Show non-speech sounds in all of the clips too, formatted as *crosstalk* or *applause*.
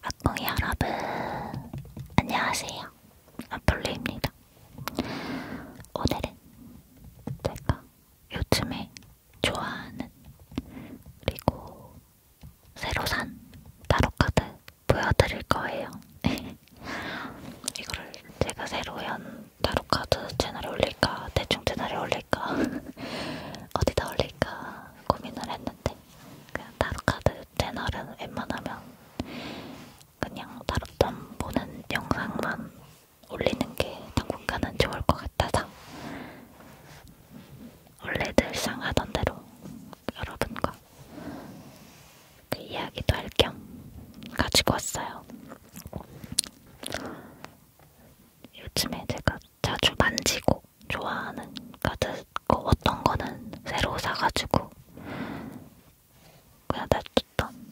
학봉이 여러분 안녕하세요 아폴로입니다 오늘은 제가 요즘에 좋아하는 그리고 새로 산 타로카드 보여드릴 거예요 *laughs* 이거를 제가 새로 연 타로카드 채널에 올릴까 대충 채널에 올릴까 *laughs* 어디다 올릴까 고민을 했는데 같아. 그냥 타로카드 채널은 웬만하면 그냥 타로점 보는 영상만 올리는 게 당분간은 좋을 것 같아서 원래 늘상 하던 대로 여러분과 그 이야기도 할 겸 가지고 왔어요. 요즘에 제가 자주 만지고 뭐 좋아하는 카드 그러니까 거 그, 그 어떤 거는 새로 사가지고 그냥 놔뒀던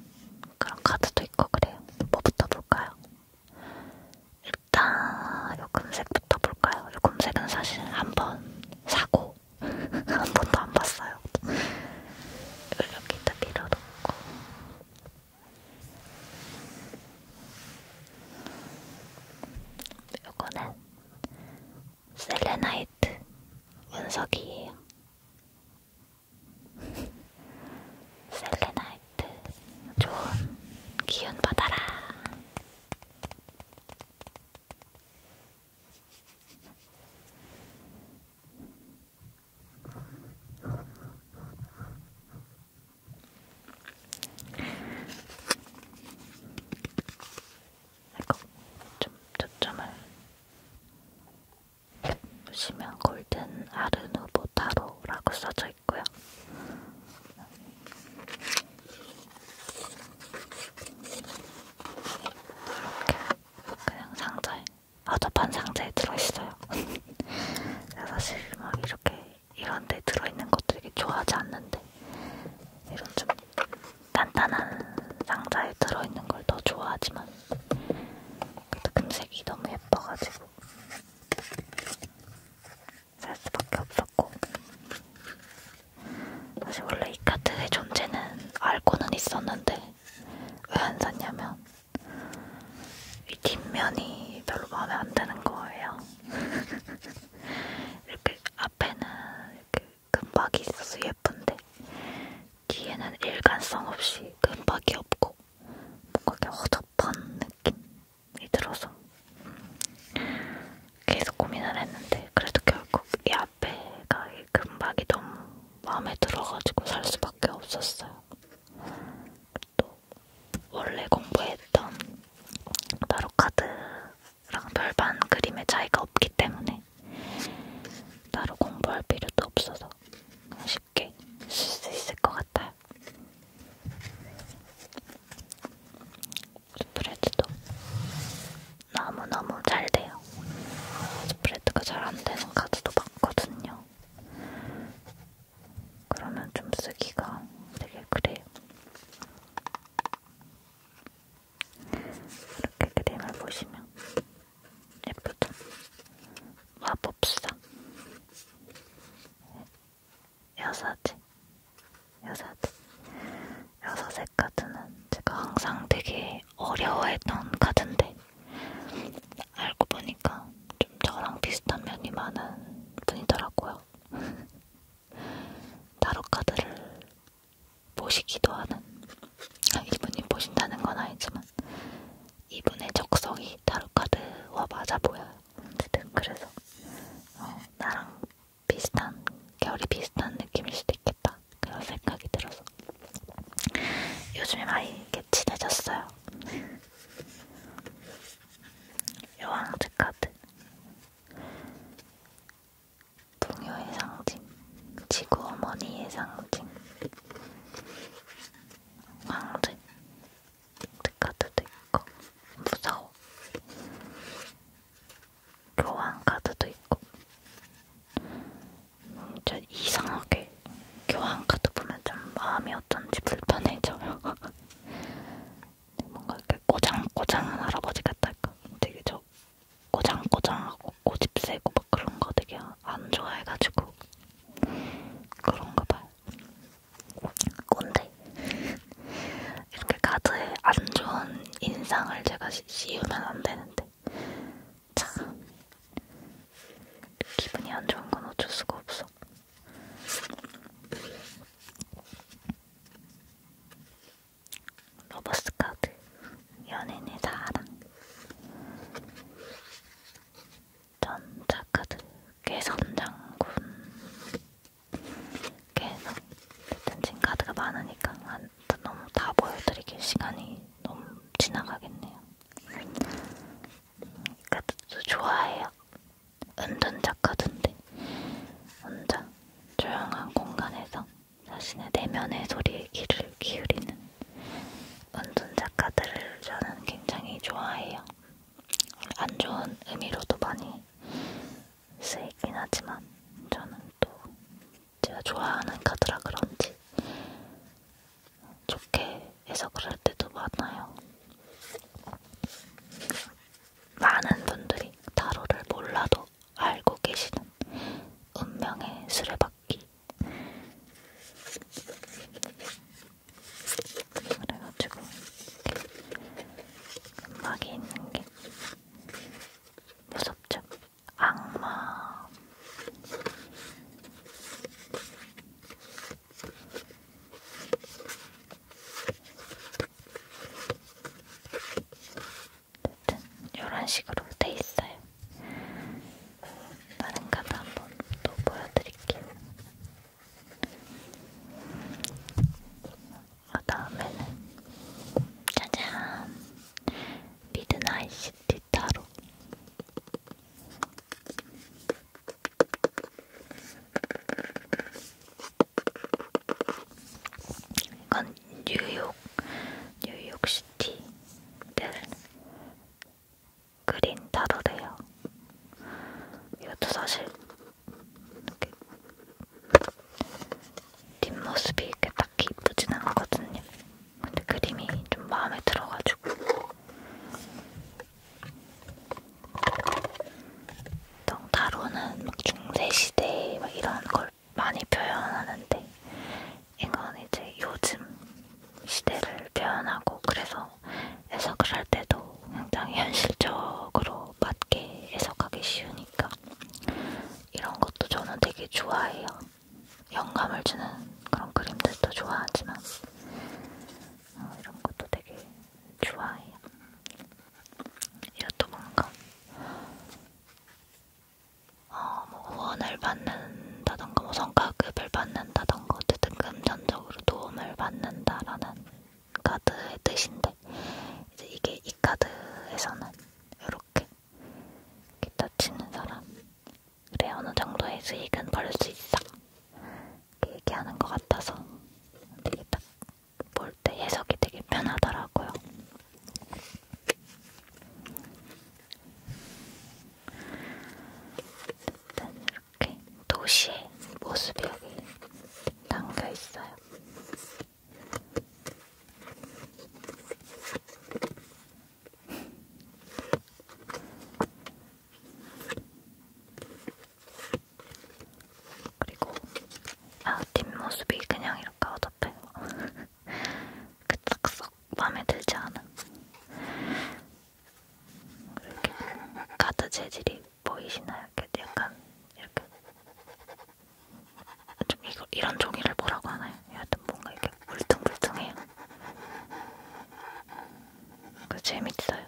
그런 카드도 있고 그래요. 뭐부터 볼까요? 일단 요 금색부터 볼까요? 요 금색은 사실 한 번 사고 *laughs* 한 번도 안 봤어요. 이걸 여기다 밀어놓고 요거는 셀레나이트 운석이에요. 셀레나이트 좋은 기운 받아라. 좀 초점을 보시면 골든 아르누보 타로라고 써져 있고요. 이렇게 그냥 상자에 어접한 상자에 들어있어요. *laughs* 사실 막 이렇게 이런데 들어있는 것도 되게 좋아하지 않는데 이런 좀 단단한 상자에 들어있는 걸 더 좋아하지만 그래도 금색이 너무 예뻐가지고 살 수밖에 없었고 사실 원래 이 카드의 존재는 알고는 있었는데 왜 안 샀냐면 이 뒷면이 별로 마음에 안 드는 거예요. *laughs* 이렇게 앞에는 이렇게 금박이 있어서 예쁜데 뒤에는 일관성 없이 금박이 없고 뭔가 이렇게 허접한 느낌이 들어서 계속 고민을 했는데 그래도 결국 이 앞에가 이 금박이 너무 마음에 들어가지고 살 수밖에 없었어요. 또 원래 공부했던 타로카드 랑 절반 그림의 차이가 없기 때문에 따로 공부할 필요도 없어서 쉽게 쓸 수 있을 것 같아요. 스프레드도 너무너무 잘 돼요. 스프레드가 잘 안 되는 카드도 많거든요. 그러면 좀 쓰기가 되게 그래요. 이렇게 그림을 보시면 예쁘죠? 마법사 여사지 여사지 여섯의 카드는 제가 항상 되게 어려워했던 카드인데 알고 보니까 좀 저랑 비슷한 면이 많은 분이더라고요. 타로 카드를 보시기도 하는 아, 이분이 보신다는 건 아니지만 이분의 적성이 타로 카드와 맞아 보여요. 어쨌든 그래서 어, 나랑 비슷한 결이 비슷한 느낌일 수도 있겠다 그런 생각이 들어서 요즘에 많이 이렇게 친해졌어요. 여왕즈 카드 동요의 상징, 지구 어머니의 상징, 황제 카드도 있고 무서워 교환 카드도 있고 진짜 이상하게 교환 카드 보면 좀 마음이 어쩐지 불편해져요. *laughs* 뭔가 이렇게 꼬장꼬장한 할아버지 같달까? 되게 저 꼬장꼬장하고 고집세고 막 그런 거 되게 안 좋아해가지고 그런가 봐요. 꼰대. 이렇게 카드에 안 좋은 인상을 제가 씌우면 안 되는데 참 기분이 안 좋은 건 어쩔 수가 없어. 로버스카드 연인의 사랑 전자카드 개선장군 계속 댄진 카드가 많으니까 너무 다 보여드리길 시간이 너무 지나가겠네요. 이 카드도 좋아해요. 은둔자 카드인데 혼자 조용한 공간에서 자신의 내면의 소리에 귀를 기울이는 운둔 작가들을 저는 굉장히 좋아해요. 안 좋은 의미로도 많이 쓰이긴 하지만 저는 또 제가 좋아하는 카드라 그런지 좋게 해석을 할 때도 많아요. 많은 분들이 타로를 몰라도 알고 계시는 운명의 수레바퀴. 그래가지고 음악이 있는 게 무섭죠? 악마. 이런 식으로 돼 있어요. 다른 카드 한번 또 보여드릴게요. 그 다음에는 짜잔! 미드나잇 시티 타로 이건 그런 뉴욕, 뉴욕시티를 그린 타로래요. 이것도 사실 이렇게 뒷모습이 이렇게 딱히 이쁘진 않거든요. 근데 그림이 좀 마음에 들어가지고 덩타로는 막 중세시대 막 이런 걸 많이 표현하는데 이건 이제 요즘 시대를 표현하고 그래서 해석을 할 때도 굉장히 *laughs* 현실적으로 맞게 해석하기 쉬우니까 이런 것도 저는 되게 좋아해요. 영감을 주는 그런 그림들도 좋아하지만 어, 이런 것도 되게 좋아해요. 이것도 뭔가 어, 뭐 후원을 받는다던가 뭐 성과급을 받는다던가 어쨌든 금전적으로 도움을 받는다라는 카드의 뜻인데 이제 이게 이 카드에서는 이렇게 기타 치는 사람 그래 어느 정도의 수익은 벌 수 있어 이렇게 얘기하는 것 같아서 되게 딱 볼 때 해석이 되게 편하더라고요. 일단 이렇게 도시의 모습이 여기 담겨 있어요. 그리고 아 뒷모습이 그냥 이렇게 어둡해요 그딱썩 마음에 들지 않아. 이렇게 가드 재질이 보이시나요? 이렇게 약간 이렇게 좀 이거 이런 종이를 뭐라고 하나요? 여하튼 뭔가 이렇게 물퉁물퉁해요. 그 재밌어요.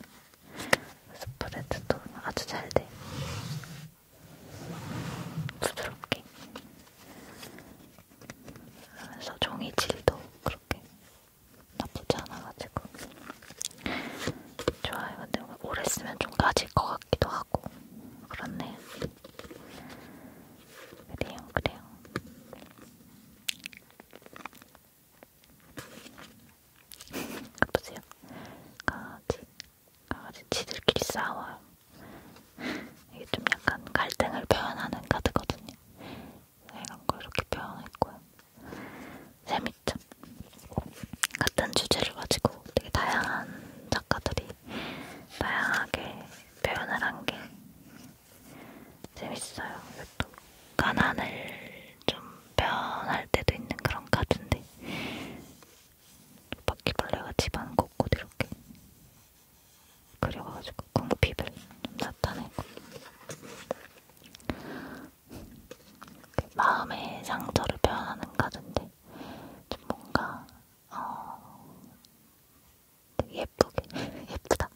스프레드도 아주 잘 돼. 부드럽게 그래서 종이 질도 그렇게 나쁘지 않아가지고 좋아요. 근데 오래 쓰면 좀 까질 것 같기도 하고 그렇네요. 그래요, 그래요. *laughs* 보세요. 까지 강아지 지들끼리 싸워요. *laughs* 이게 좀 약간 갈등을 표현하는 카드거든요. 네, 이런 걸 이렇게 표현했고요. 재밌죠? 같은 주제를 가지고 되게 다양한 작가들이 다양하게 표현을 한 게 재밌어요. 또 가난을 좀 표현할 때도 있는 그런 카드인데 바퀴벌레가 집안 곳곳 이렇게 그래가지고 궁핍을 좀 나타내고 마음의 상처를 표현하는 가든데 좀 뭔가 어, 예쁘게 *laughs* 예쁘다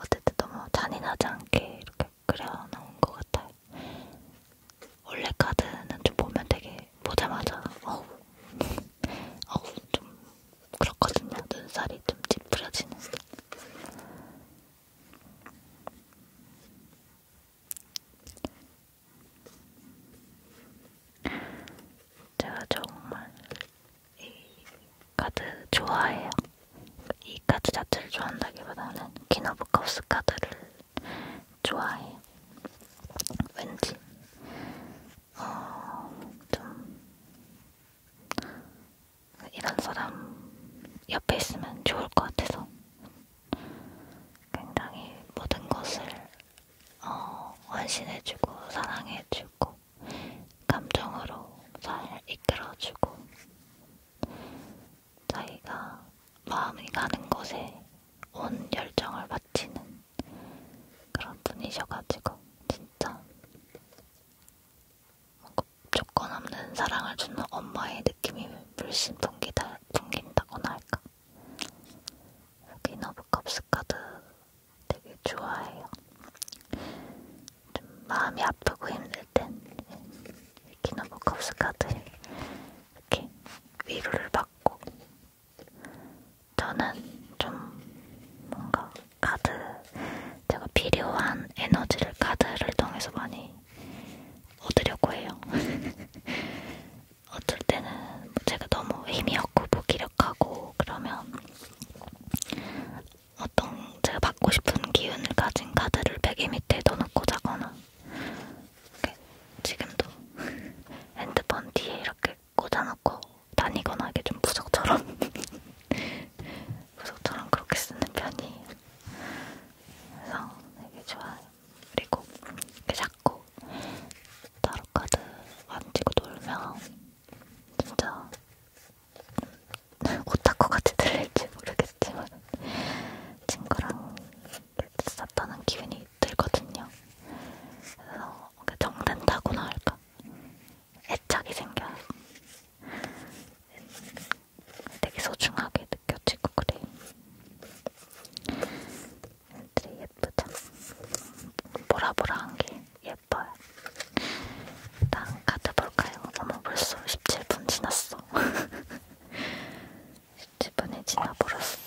어쨌든 너무 잔인하지 않게 이렇게 그려놓은 것 같아요 원래 카드는 좀 보면 되게 근데 보자마자 어우 *laughs* 어우 좀 그렇거든요. 눈살이 좀 찌푸려지는. 제가 정말 이 카드 좋아해요. 이 카드 자체를 좋아한다기보다는 키노브카우스 카드를 좋아해요. 왠지 어, 좀 이런 사람 옆에 있으면 좋을 것 같아서 굉장히 모든 것을 어, 원신해주고 사랑해주고 감정으로 잘 이끌어주고 자기가 마음이 가는 곳에 온 열정을 바치는 그런 분이셔가지고 진짜 조건 없는 사랑을 주는 엄마의 느낌이 물씬 풍기다, 풍긴다거나 할까 기너브컵스 카드 되게 좋아해요. 좀 마음이 아프고 힘들 땐 기너브컵스 카드 이렇게 위로를 받고 저는 좀 뭔가 카드, 제가 필요한 에너지를 카드를 통해서 많이 얻으려고 해요. *laughs* 어쩔 때는 제가 너무 힘이 없고 무기력하고 그러면 어떤 제가 받고 싶은 기운을 가진 카드를 베개 밑에 넣어놓고 자거나 지금도 *laughs* 핸드폰 뒤에 이렇게 꽂아놓고 다니거나 이게 좀 부적처럼 *laughs* 부적처럼 그렇게 쓰는 편이에요. 그래서 되게 좋아요. 그리고 이렇게 자꾸 타로카드 만지고 놀면 진짜 오타쿠 같이 들릴지 모르겠지만 친구랑 이렇게 썼다는 기분이 들거든요. 그래서 정된다고나 할까? 애착이 생겨요. 되게 소중하게 느껴지고 그래요. 애들이 예쁘다. 보라보라한 게 예뻐요. 일단 카드 볼까요? 어머 벌써 17분 지났어. 17분이 *laughs* 지나버렸어.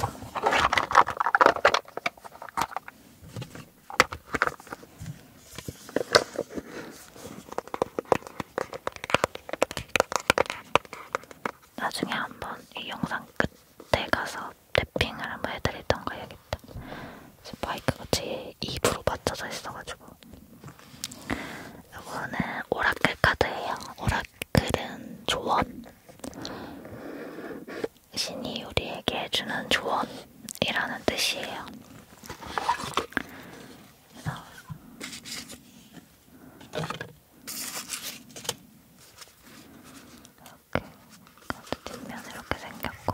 나중에 한번 이 영상 끝에 가서 탭핑을 한번 해드리던 거 해야겠다. 지금 마이크가 제 입으로 맞춰져 있어가지고. 이거는 오라클 카드예요. 오라클은 조언. 신이 우리에게 해주는 조언이라는 뜻이에요. 그래서 이렇게 뒷면 이렇게 생겼고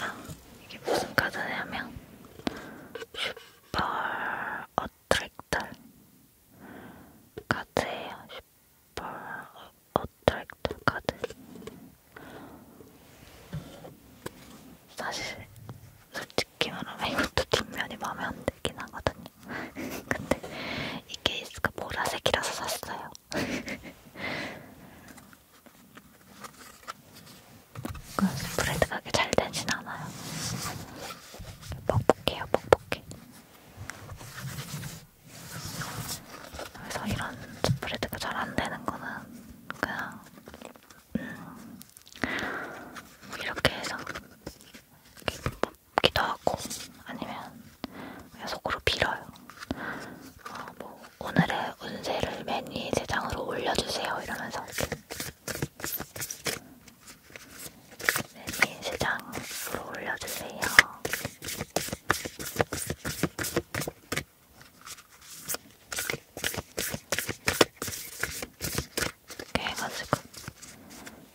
아, 이게 무슨 카드냐면 슈퍼 어트랙터 카드예요. 어트랙터 카드 사실 솔직히 말하면 이것도 뒷면이 마음에 안 들긴 하거든요. *laughs* 근데 이 케이스가 보라색이라서 샀어요. 브랜드가 *laughs* 그렇게 잘 되진 않아요. 뻑뻑해요, 뻑뻑해. 그래서 이런 스프레드가 잘 안 되는 거는 그냥 음, 이렇게 해서 이렇게 뽑기도 하고 아니면 그냥 속으로 빌어요. 어, 뭐 오늘의 운세를 맨 위에 세 장으로 올려주세요 이러면서 맨 위에 세 장으로 올려주세요. 이렇게 해가지고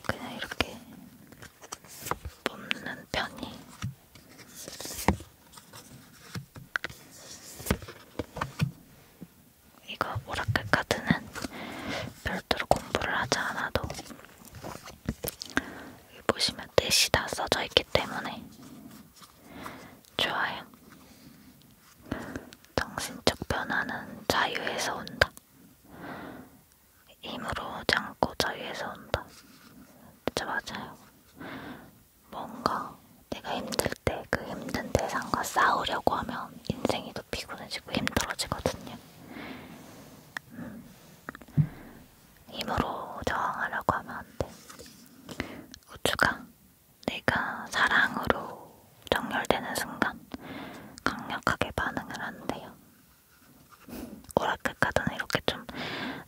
그냥 이렇게 뽑는 편이 이거 오라클 카드는 별도로 공부를 하지 않아도 보시면 뜻이 다 써져 있기 때문에 좋아요. 정신적 변화는 자유에서 온다. 힘으로 오지 않고 자유에서 온다. 진짜 맞아요. 뭔가 내가 힘들 때 그 힘든 대상과 싸우려고 하면 인생이 더 피곤해지고 힘들어지거든요. 음. 힘으로 저항하려고 하면 안 돼. 우주가 내가 사랑으로 정렬되는 순간 강력하게 반응을 한대요. 오라클 카드는 이렇게 좀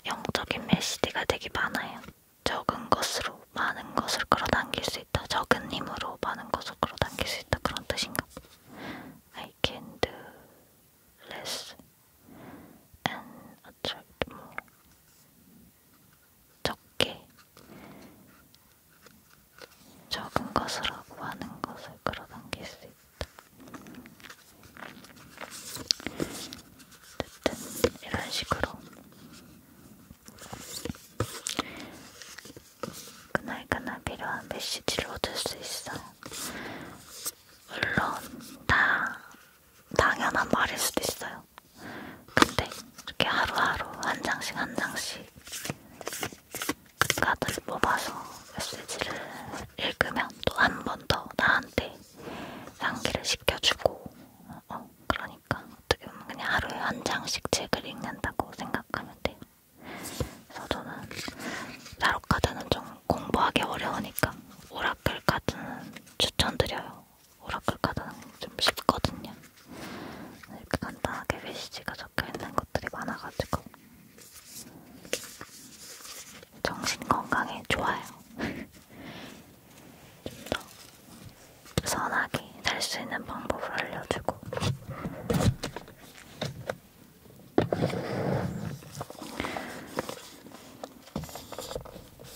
영적인 메시지가 되게 많아요. 적은 것으로 많은 것을 끌어당길 수 있다. 적은 힘으로 많은 것을 끌어당길 수 있다. 그런 뜻인가? I can do less and attract more. 적게 적은 것을 하고 많은 것을 끌어당길 수 있다. 어쨌든 이런 식으로 그날그날 필요한 메시지를 얻을 수 있어요. 물론 다 당연한 말일 수도 있어요. 근데 이렇게 하루하루 한 장씩 한 장씩 카드를 뽑아서 메시지를 읽으면 또 한 번 더 나한테 향기를 시켜주고 어, 그러니까 어떻게 보면 그냥 하루에 한 장씩 책을 읽는다고 생각하면 돼요. 그래서 저는 잘 타로 카드는 좀 공부하기 어려우니까 오라클 카드는 추천드려요. 오라클 카드는 좀 쉽거든요. 이렇게 간단하게 메시지가 적혀있는 것들이 많아가지고 정신 건강에 좋아요. *laughs* 좀 더 선하게 살 수 있는 방법을 알려주고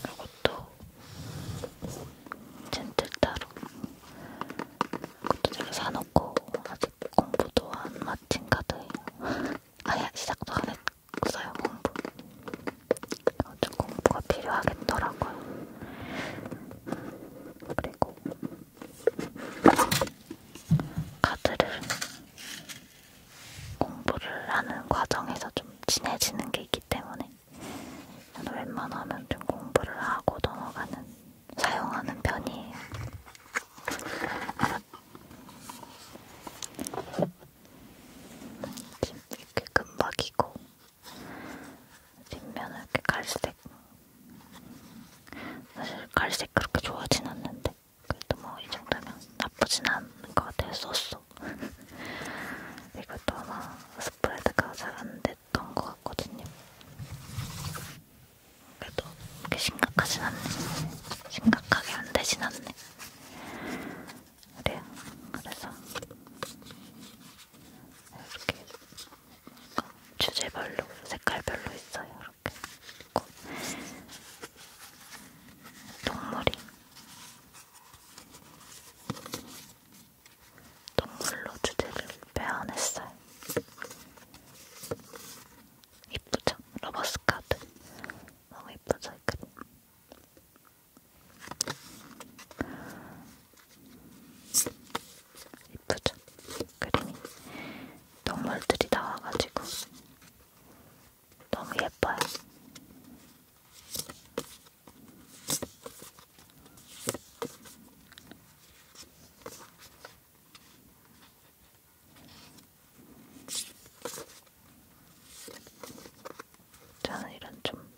이것도 젠틀타로 이것도 제가 사놓고 아직 공부도 안 마친 카드예요 *laughs* 아예 시작도 안 했어요 공부 어쨌 공부가 필요하겠더라고요 그리고 카드를 공부를 하는 과정에서 좀 친해지는 게 있기 때문에 저는 웬만하면 좀 공부를 하고 넘어가는, 사용하는 편이에요. 지금 이렇게 금박이고 뒷면은 이렇게 갈색 사실 갈색 그렇게 좋아하진 않는데 그래도 뭐 이 정도면 나쁘진 않은 것 같아요. 소소. *laughs* 이것도 아마 스프레드가 잘 안 됐던 것 같거든요. 그래도 그렇게 심각하진 않네. 심각하게 안 되진 않네. 그래요. 네, 그래서 이렇게 주제별로 색깔별로 있어요. 이렇게 그 있고 동물이 동물로 주제를 표현했어요. 이쁘죠? 러버스카드 너무 이쁘죠? 이 그림 이쁘죠? 그림이 동물들이 나와가지고 너무 예뻐요. 저는 이런 좀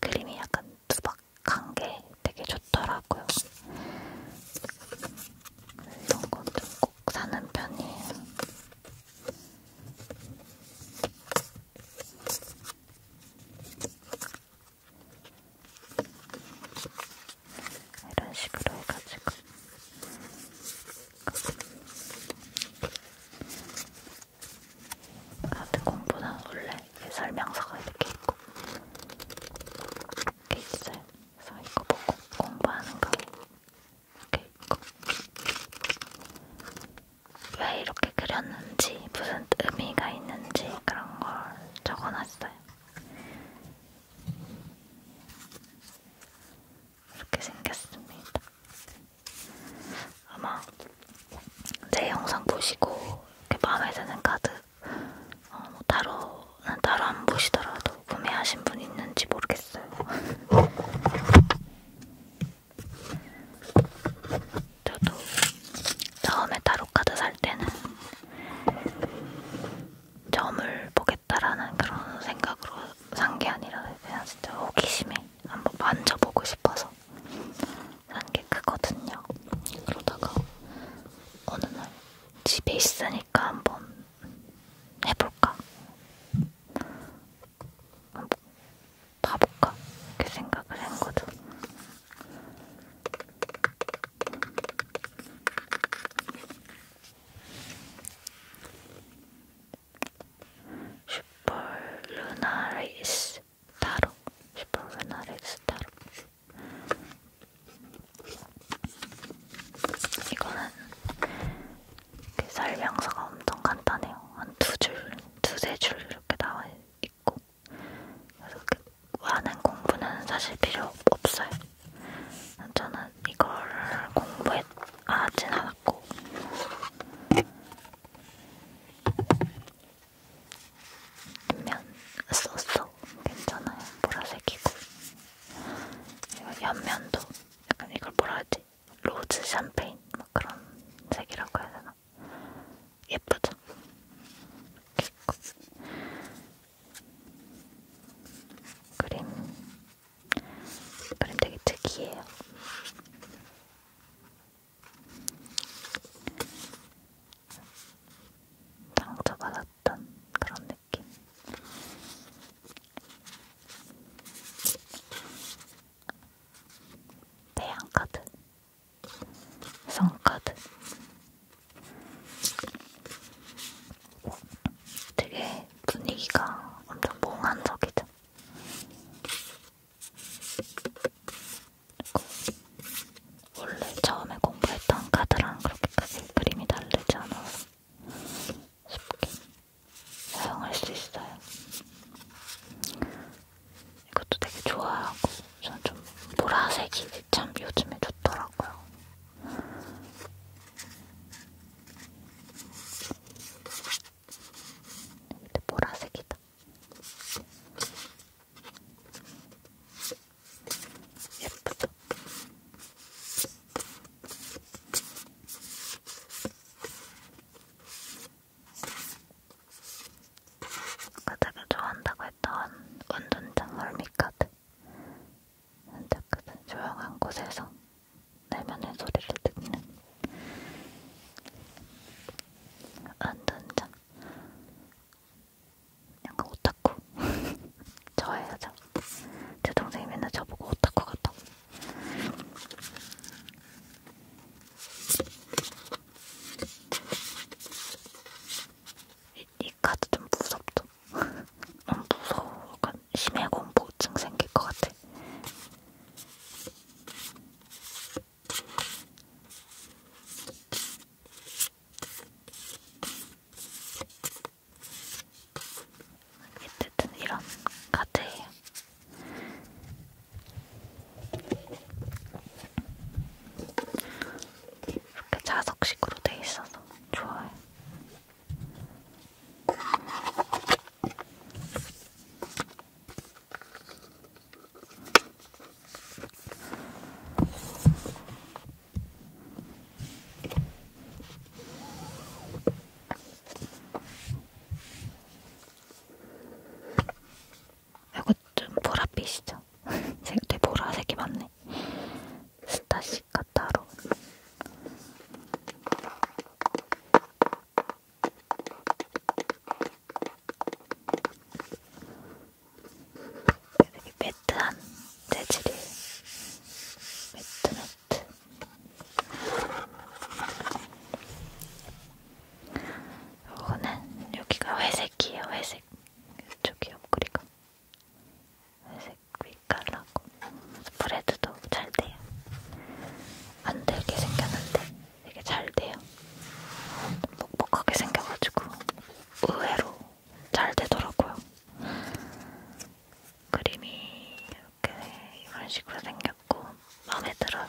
그림이 약간 투박한 게 되게 좋더라고요. 이런 건 좀 꼭 사는 편이에요. 이런 식으로 해가지고 같은 공보다 원래 설명서가 이렇게 있고 이렇게 있어요. 그래서 이거 보고 공부하는 거왜 이렇게 그렸는지, 무슨 의미가 있는지 그런 걸 적어놨어요. 이렇게 생겼습니다. 아마 제 영상 보시고 이렇게 마음에 드는 카드 어, 뭐 따로는 따로 안 보시더라도 구매하신 분 있는지 모르겠어요. 모르겠어요. 저도 처음에 타로카드 살 때는 점을 보겠다라는 그런 생각으로 산 게 아니라 그냥 진짜 호기심에 한번 만져보고 싶어서 산 게 크거든요. 그러다가 어느 날 집에 있으니까 한번 해볼까? 봐볼까? 이렇게 생각을 한 거죠. 슈퍼루나리스 타로 슈퍼루나리스 타로 이거는 이렇게 설명서가 엄청 간단해요. 한 두 줄, 두세 줄 이렇게 나와 있고. 그래서 그 많은 공부는 사실 필요 없어요. 저는 이거를 공부하진 않았고. 옆면 썼어. 괜찮아요. 보라색이고. 이거 옆면도 약간 이걸 뭐라 하지? 로즈 샴페인 막 뭐 그런 색이라고 해야 되나? 예쁘죠? 그림 그림 되게 특이해요. 상처받았던 그런 느낌. 태양카드, 성카드 되게 분위기가 엄청 몽환적이죠. 원래 처음에 공부했던 카드랑 그렇게 크게 그림이 다르지 않아서 쉽게 사용할 수 있어요. 이것도 되게 좋아하고 저는 좀 보라색이 참 요즘에 좋더라고요. 근데 보라색이다. 예쁘죠? 그 내가 좋아한다고 했던 운전장 멀미카드 그 조용한 곳에서 내면의 소리를 듣는 운전장 약간 오타쿠 저예요 *laughs* 저. 제 동생이 맨날 저보고 오타쿠 같다고 이, 이 카드 좀 무섭죠? 너무 *laughs* 무서워. 약간 심해 공포증 생길 것 같아. 어쨌든 이런 카드예요. 이렇게 자석식으로 돼 있어서 좋아요. 이거 좀 보랏빛이죠? *laughs* 되게 보라색이 많네. 스타시카 타로. 되게 매트한 재질이 매트매트 요거는 여기가 회색이에요. 회색. 이쪽이 옆구리가 회색 빛깔나고 브레드도 잘 돼요. 안 되게 생겼는데 되게 잘 돼요. 묵묵하게 생겨가지고 의외로 잘 되더라고요. 그림이 이렇게 이런 식으로 생겼고 마음에 들어.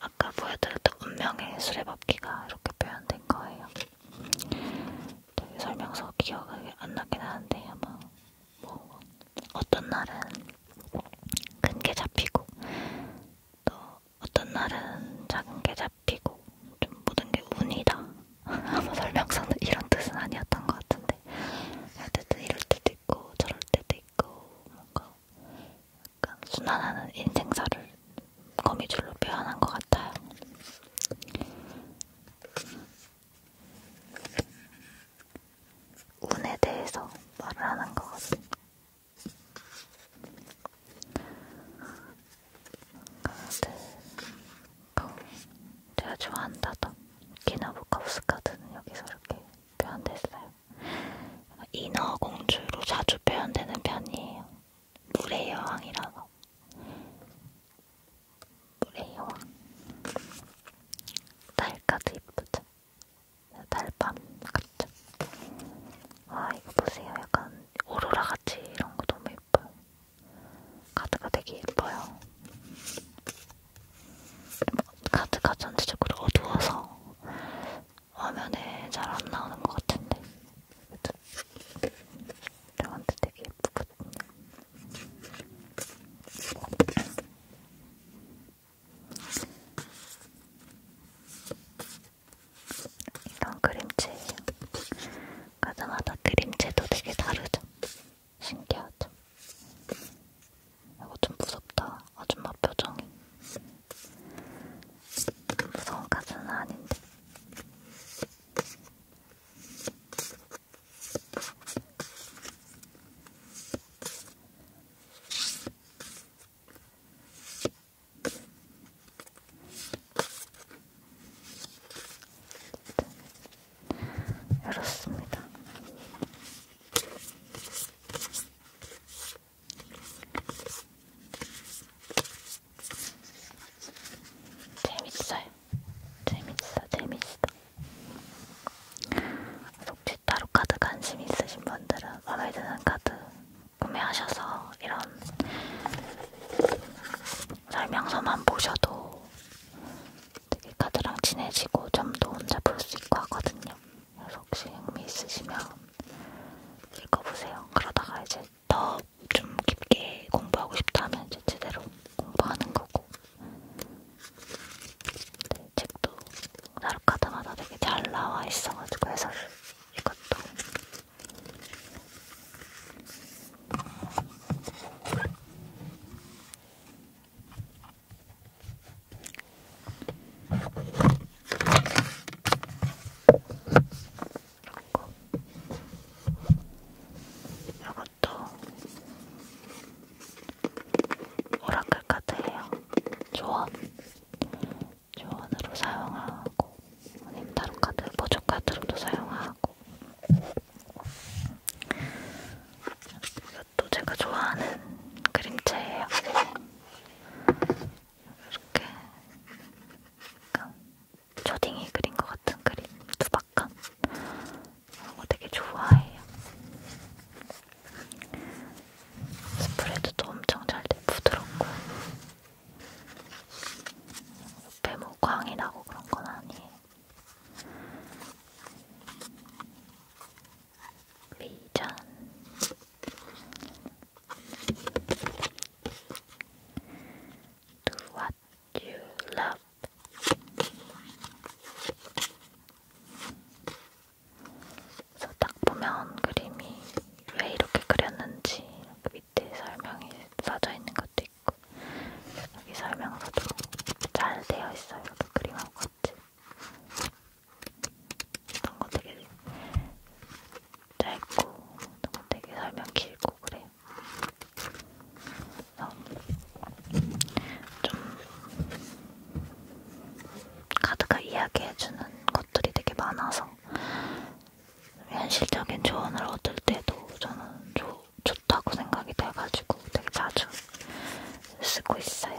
아까 보여드렸던 운명의 수레바퀴가 이렇게 표현된 거예요. 되게 설명서 기억이 안 나긴 하는데 아마 뭐 어떤 날은 큰 게 잡히고 또 어떤 날은 작은 게 잡히고 좀 모든 게 운이다 아마 설명서는 이런 뜻은 아니었던 것 같은데 어쨌든 이럴 때도 있고 저럴 때도 있고 뭔가 약간 순환하는 인생사를 거미줄로 표현한 것 같아요. 운에 대해서 말을 하는 것 같아요. 제가 좋아한다던 기나부카프스카드는 여기서 이렇게 표현됐어요. 인어 공주로 자주 표현되는 편이에요. 물의 여왕이라서. 물의 여왕. 달까지 이쁘죠? 달밤 같죠? 아, 이거 보세요. 약간 오로라 같이 이런 거 너무 예뻐요. 카드가 되게 예뻐요. 카드가 전체적으로 어두워서 화면에 잘 안 나오는 것 같은데 저한테 되게 예쁘거든요. 이런 그림체 가자마자 그림체도 되게 다르죠. 신기하죠? 이거 좀 무섭다. 아줌마 표정이. 무서운 가사는 아닌데. 열었습니다. 재밌어요. 재밌어, 재밌어. 혹시 타로 카드 관심 있으신 분들은 마음에 드는 카드 구매하셔서 이런 설명서만 보셔도 되게 카드랑 친해지고 점도 혼자 볼 수 있고 하거든요. 그래서 혹시 흥미 있으시면 읽어보세요. 그러다가 이제 더 좀 깊게 공부하고 싶다면 이제 제대로 공부하는 거고 네, 책도 나루 카드마다 되게 잘 나와 있어가지고 해서 이것도 이것도 오라클 카드예요. 조언. 조언으로 사용하고, 아니면 다른 카드, 보조 카드로도 사용하고. 이것도 제가 좋아하는 그림체예요. 이렇게 약간 초딩이 그린 것 같은 그림, 두박한 이거 되게 좋아해요. 스프레드도 엄청 잘돼 부드럽고 옆에 뭐 광이 나고 그런 건 아니에요. 미전 Do what you love 그래서 딱 보면 그림이 왜 이렇게 그렸는지 그 밑에 설명이 써져 있는 것도 있고 여기 설명서도 잘 되어 있어요. 그 그림하고 있지. 너무 되게 짧고 너무 되게 설명 길고 그래. 좀 카드가 이야기해주는 것들이 되게 많아서 현실적인 조언을 얻을 때도 저는 조, 좋다고 생각이 돼가지고 되게 자주 쓰고 있어요.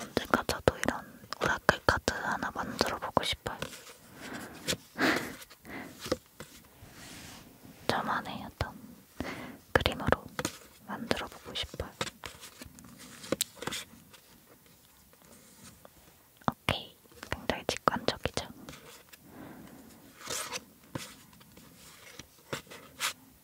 언젠가 저도 이런 오라클 카드 하나 만들어 보고 싶어요. 저만의 *laughs* 어떤 그림으로 만들어 보고 싶어요. 오케이. 굉장히 직관적이죠.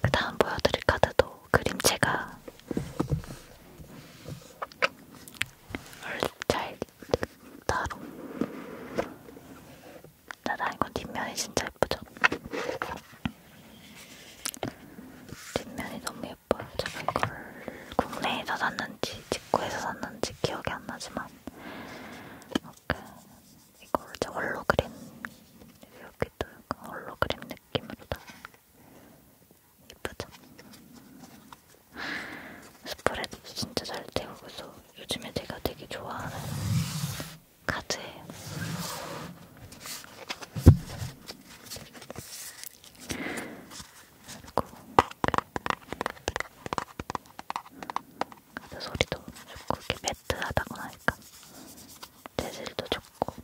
그 다음 보여드릴 카드도 그림체가 잘 따로 나랑 이건 뒷면이 진짜 예쁘죠? 뒷면이 너무 예뻐요. 제가 이걸 국내에서 샀는지 직구에서 샀는지 기억이 안 나지만 이렇게 이걸 이제 홀로그램 여기도 약간 홀로그램 느낌으로 다 예쁘죠? 스프레드 진짜 잘 태우고서 요즘에 제가 되게 좋아하는 카드예요. 그리고 카드 소리도 좋고 이렇게 매트하다고 하니까 재질도 좋고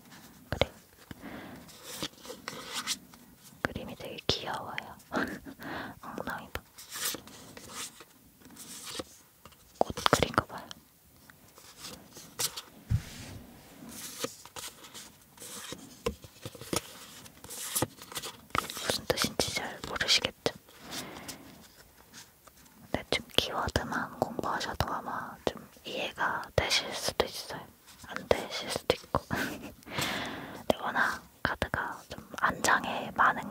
그리고 그림이 되게 귀여워요. *laughs* 엉덩이 봐. 꽃 그린 거 봐요. 무슨 뜻인지 잘 모르시겠죠? 근데 좀 키워드만 공부하셔도 아마 좀 이해가 되실 수도 있어요. 안 되실 수도 있고 *laughs* 근데 워낙 카드가 좀 안장에 많은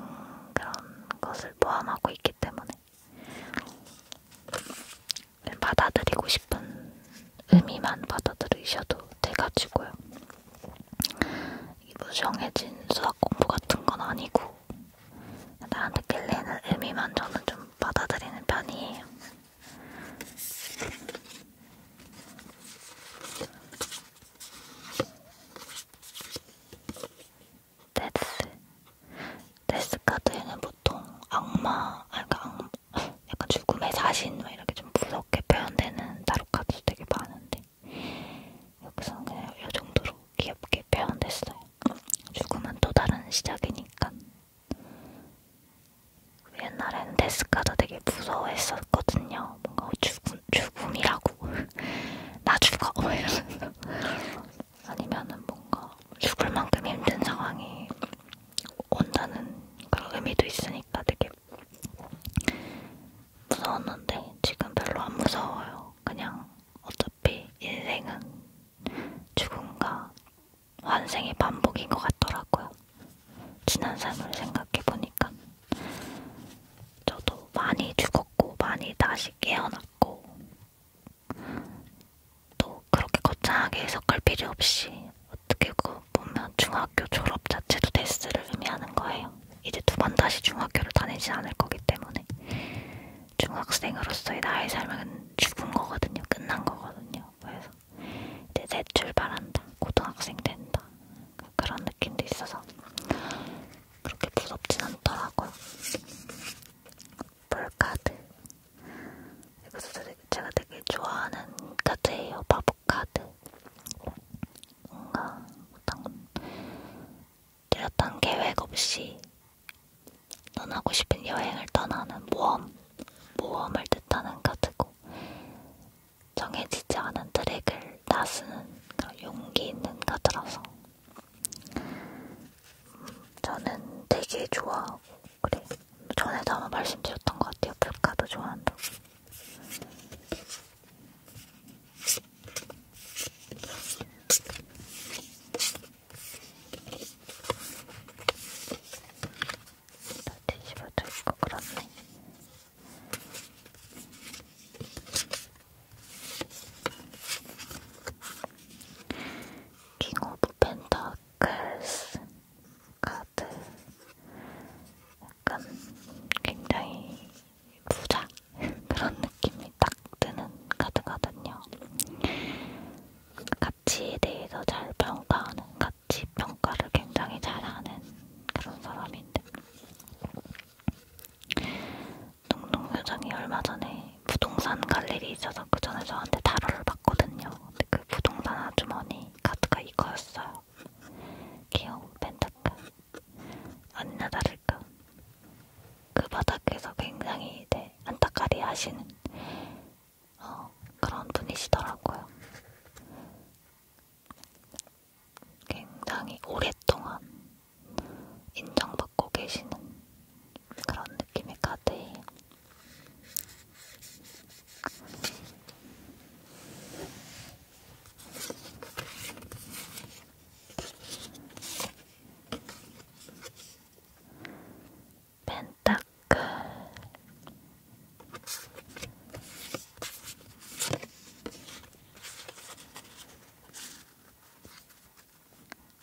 그런 것을 포함하고 있기 때문에 받아들이고 싶은 의미만 받아들이셔도 돼가지고요. 뭐 정해진 수학 공부 같은 건 아니고 나한테 끌리는 의미만 저는 좀 받아들이는 편이에요. 데스 데스 카드에는 보통 악마, 그러니까 약간 죽음의 자신 막 이렇게 좀 무섭게 표현되는 다루 카드도 되게 많은데 여기서는 그냥 이 정도로 귀엽게 표현됐어요. 죽음은 또 다른 시작이니까 옛날엔 데스카도 되게 무서워했었거든요. 뭔가 죽음, 죽음이라고. *laughs* 나 죽어! 이러면서. *laughs* 아니면은 뭔가 죽을 만큼 힘든 상황이 온다는 그런 의미도 있으니까 되게 무서웠는데 지금 별로 안 무서워요. 그냥 어차피 인생은 죽음과 환생이 반복인 것 같더라고요. 지난 삶을 생각해보니까. 저도 많이 죽었고, 많이 다시 깨어났고, 또 그렇게 거창하게 해석할 필요 없이 어떻게 그 보면 중학교 졸업 자체도 데스를 의미하는 거예요. 이제 두 번 다시 중학교를 다니지 않을 거기 때문에 중학생으로서의 나의 삶은 죽은 거거든요. 끝난 거거든요. 그래서 이제 새 출발한다. 고등학생 된다. 그런 느낌도 있어서 그렇게 무섭진 않더라고요. 볼카드. 이것도 제가 되게 좋아하는 카드예요. 바보카드. 뭔가 어떤 뚜렷한 계획 없이 떠나고 싶은 여행을 떠나는 모험 모험을 뜻하는 카드고 정해지지 않은 트랙을 나서는 그런 용기 있는 카드라서 저는 되게 좋아하고 그래 전에도 한번 말씀드렸던 것 같아요 풀카드 좋아한다고 다 뒤집어져 있고 그렇네. 킹 오브 펜타클스 카드 약간 굉장히 부자 *laughs* 그런 느낌이 딱 드는 카드거든요. 가치에 대해서 잘 평가하는, 가치 평가를 굉장히 잘하는 그런 사람인데 동동 회장이 얼마 전에 부동산 갈 일이 있어서 그 전에 저한테 타로를 봤거든요. 근데 그 부동산 아주머니 카드가 이거였어요. 귀여운 펜타클 아니나 다를까 그 바닥에서 굉장히 이제 안타까리 하시는 어, 그런 분이시더라고요. 굉장히 오랫동안 인정받고 계시는 그런 느낌의 카드예요. 펜타클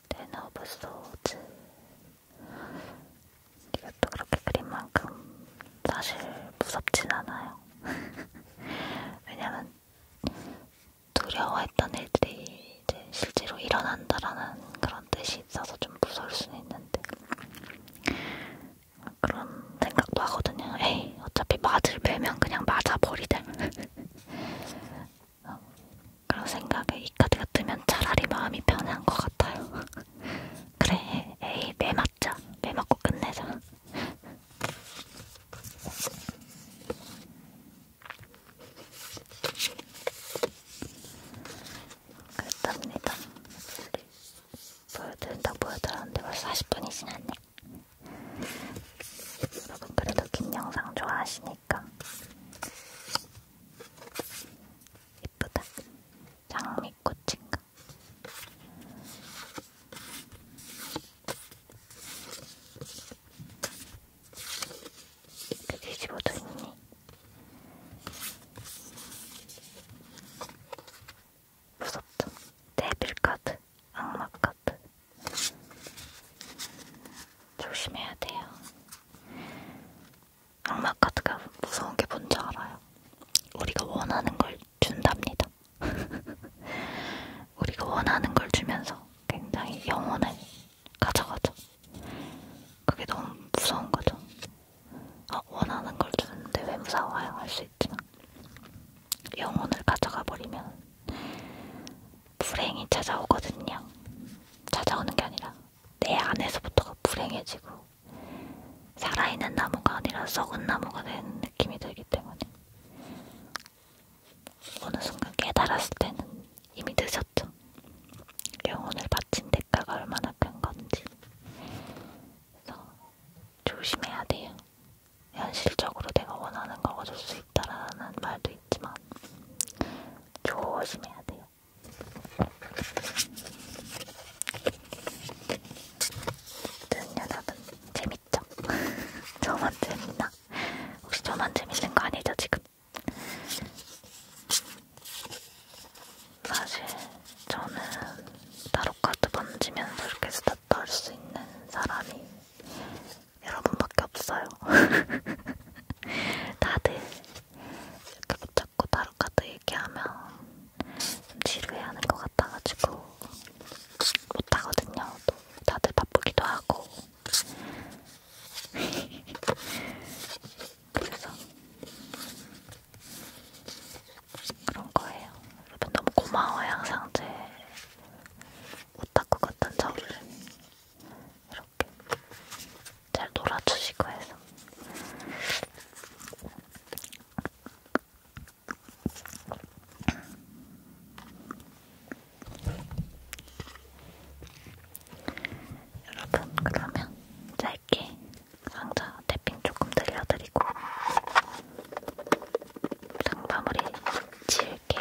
테너브 소즈 이것도 그렇게 그린만큼 사실 무섭진 않아요. *laughs* 왜냐면 두려워했던 일들이 이제 실제로 일어난다라는 그런 뜻이 있어서 좀 무서울 수는 있는데 그런 생각도 하거든요. 에이, 어차피 맞을 매면 그냥 맞아버리자. 어, *laughs* 그런 생각에 이 카드가 뜨면 차라리 마음이 편한 것 같아요. *laughs* 그래, 에이, 매 맞자. 매 맞고 끝내자. 그랬답니다. 보여드린다 보여드렸는데 벌써 40분이 지났네. 여러분 그래도 긴 영상 좋아하시니까 예쁘다. 장미꽃인가? 이렇게 뒤집어져 있니? 무섭다. 데빌 카드, 악마 카드. 조심해야 돼요. 악마 카드가 무서운 게 뭔지 알아요? 우리가 원하는 걸 준답니다. *laughs* 우리가 원하는 걸 주면서 굉장히 영혼을 가져가죠. 그게 너무 무서운 거죠. 어, 원하는 걸 주는데 외무사와 할수 있지만 영혼을 가져가 버리면 불행이 찾아오거든요. 찾아오는 게 아니라 내 안에서부터가 불행해지고 살아있는 나무가 아니라 썩은 나무가 되는 느낌이 들기 때문에 어느 순간 깨달았을 때는 이미 늦었죠. 영혼을 바친 데 대가가 얼마나 큰 건지 그래서 조심해야 돼요. 현실적으로 내가 원하는 걸 얻을 수 있다라는 말도 있지만 조심해야 돼요. 어쨌든 여러분 재밌죠? *laughs* 저만 재밌나? 혹시 저만 재밌는 거 아니죠 지금? 사실 저는 타로카드 만지면서 이렇게 스타트 할수 있는 사람이 여러분밖에 없어요. *laughs* 다들 이렇게 붙잡고 타로카드 얘기하면 좀 지루해하는 것 같아가지고 못하거든요. 또 다들 바쁘기도 하고 *laughs* 그래서 그런 거예요. 여러분 너무 고마워요. 항상 제 오타쿠 같은 저를 이렇게 잘 놀아주시고 해서 여러분 그러면 짧게 상자 탭핑 조금 들려드리고 상 마무리 지을게요.